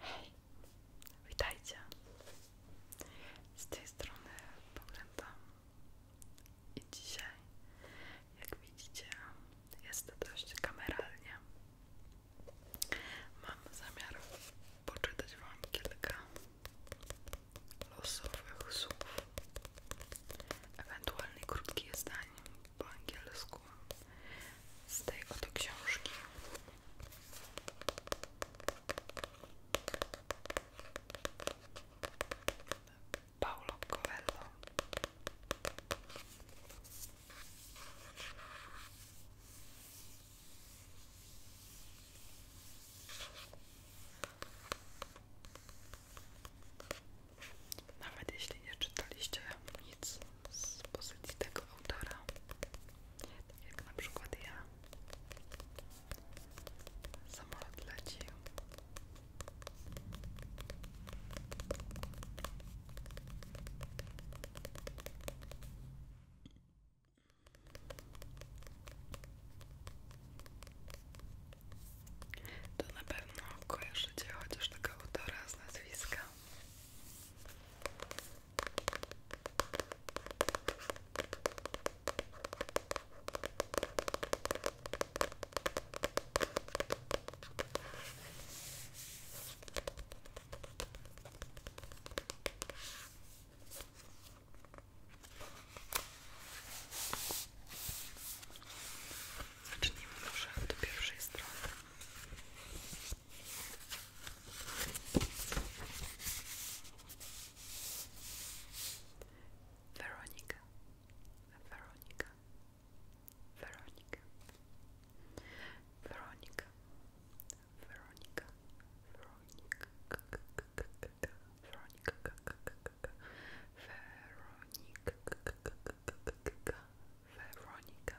Hej, witajcie. Z tej strony pamiętam i dzisiaj, jak widzicie, jest dość kameralnie. Mam zamiar poczytać Wam kilka losowych słów, ewentualnie krótkich zdań, po angielsku z tej oto książki. Nawet jeśli nie czytaliście nic z pozycji tego autora, tak jak na przykład ja. Samolot leci. To na pewno kojarzycie chociaż tego autora z nazwiska. Zacznijmy może od pierwszej strony. Veronica, Veronica, Veronica, Veronica, Veronica, Veronica, Veronica, Veronica, Veronica. Veronica,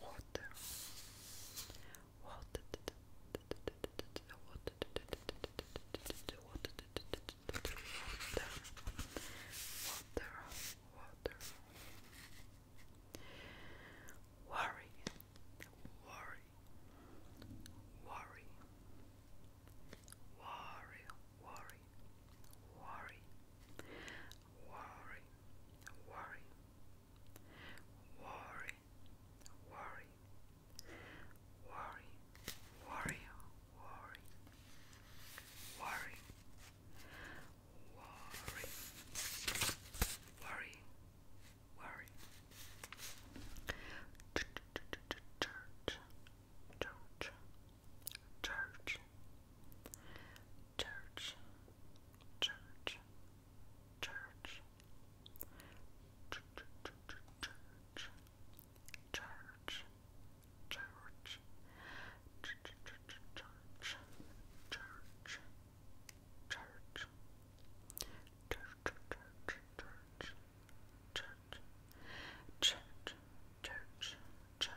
water water water water water water worry worry worry worry worry worry worry worry Worry, worry, worry, worry, worry, worry, worry, worry, worry. Church, church, church, church, Church, church, church, church, church, church, church, church, church, church. Church, church, church, church, church, church, church,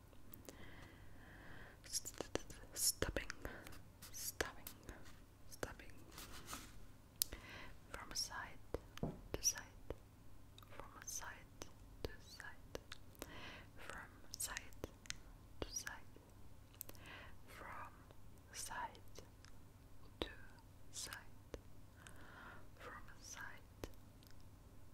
Stubbing, stubbing, stubbing. From side to side, from side to side, from side to side, from side to side, from side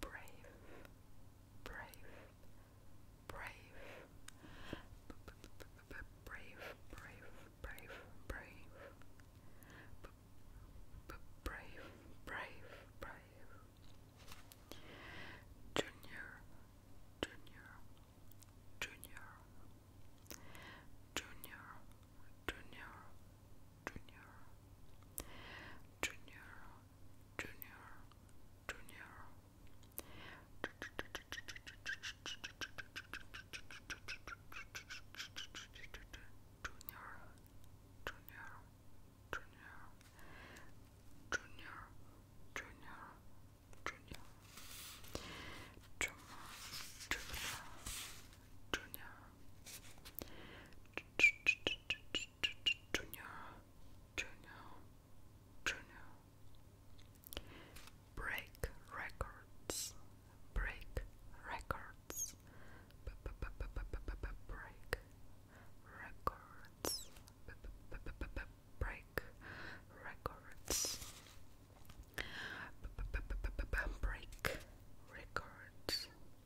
brave, brave, brave, brave, brave, brave, brave, brave, brave, brave, junior, junior, junior, junior, junior, Junior, Junior, Junior, Junior. Junior, Junior, Junior, Junior, Junior, Junior, Junior, Junior, Junior, Junior, Junior, Junior. Break records, break records, break records, break records, break records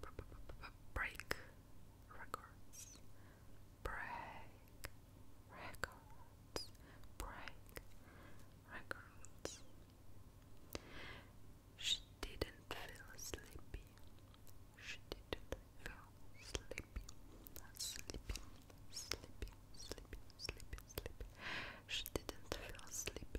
break records, break records, break records. She didn't feel sleepy. She didn't feel sleepy. Sleepy, sleepy, sleepy, sleepy, sleepy. She didn't feel sleepy.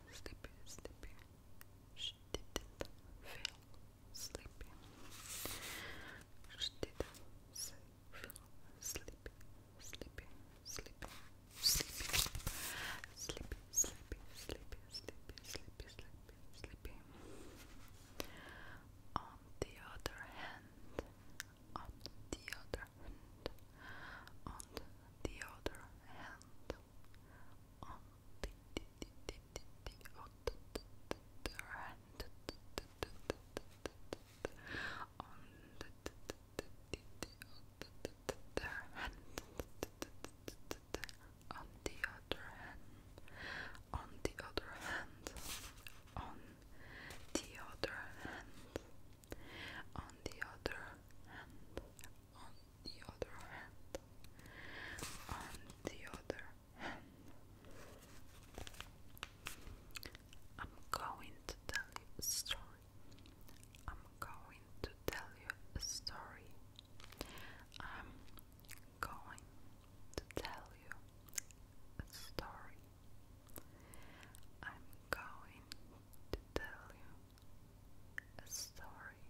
sleepy, sleepy. She didn't feel sleepy. She didn't feel sleepy, sleepy, sleepy, sleepy, sleepy, sleepy, sleepy, sleepy, sleepy, sleepy, sleepy. On the other hand, on the other hand, on the other hand, on the, the, the, the, the, the, the, the on the, the, the, the hand on the other hand on the other hand on the other hand on the other hand on the other hand, on the other hand, I'm going to tell you a story. I'm going to tell you a story. I'm going to tell you a story. I'm going to tell you Sorry.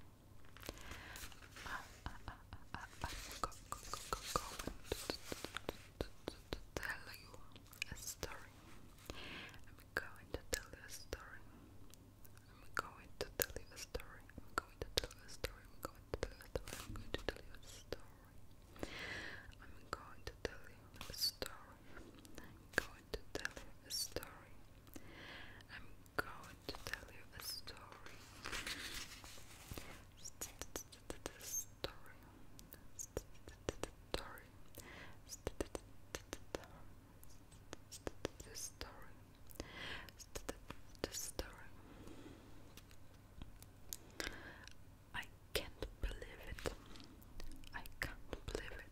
Uh, uh, uh, uh, uh, I'm going to tell you a story. I'm going to tell you a story. I'm going to tell you a story. I'm going to tell a story. I'm going to tell a story. I'm going to tell you a story. I'm going to tell you a story. I'm going to tell you a story. I'm going to tell you a story. Story. Story. Story. Story. I can't believe it. I can't believe it.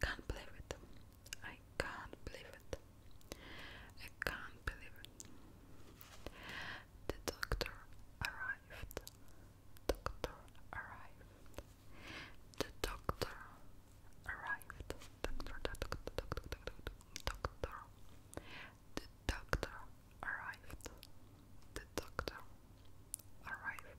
Can't believe it. I can't believe it. I can't believe it. The doctor arrived. Doctor arrived. The doctor arrived. Doctor, doctor, doctor, doctor, doctor. The doctor arrived. The doctor arrived.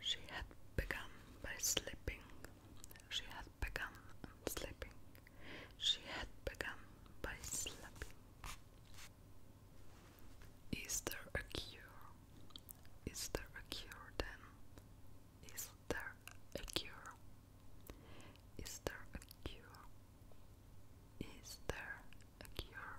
She had begun by sleeping. She had begun and sleeping. She had begun by sleeping. Is there a cure? Is there a cure then? Is there a cure? Is there a cure? Is there a cure?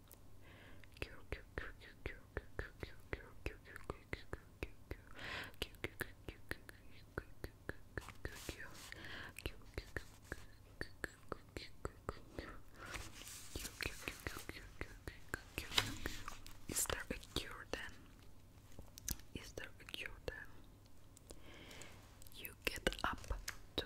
is there a cure then? Is there a cure then? You get up to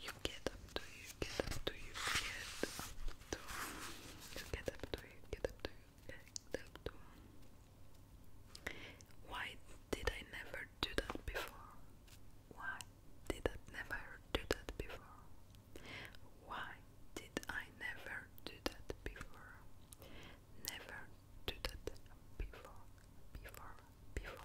You get up to you, get up to you, get up to you, get up to you, get up to you, get up to you. Why did I never do that before? Why did I never do that before? Why did I never do that before? Never do that before, before, before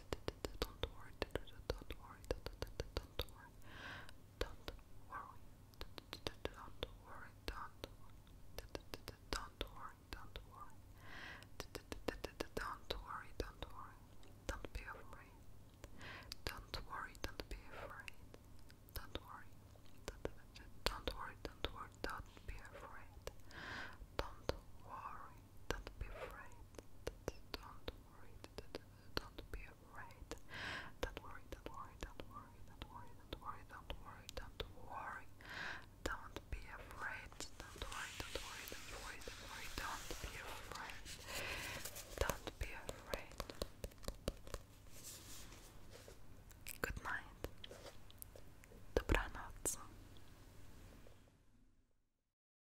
Don't worry. Don't worry. Don't worry. Don't worry. Don't worry. Don't worry. Don't worry. Don't worry. Don't worry. Don't be afraid. Don't worry. Don't be afraid. Don't worry. Don't worry. Don't worry. Don't be afraid. Don't worry. Don't be afraid. Don't worry. Don't be afraid. Don't worry. Don't worry. Don't worry. Don't worry. Don't worry. Don't worry. Don't be afraid. Don't worry. Don't worry. Don't worry. Don't be afraid. Don't be afraid. Good night. Dobranoc.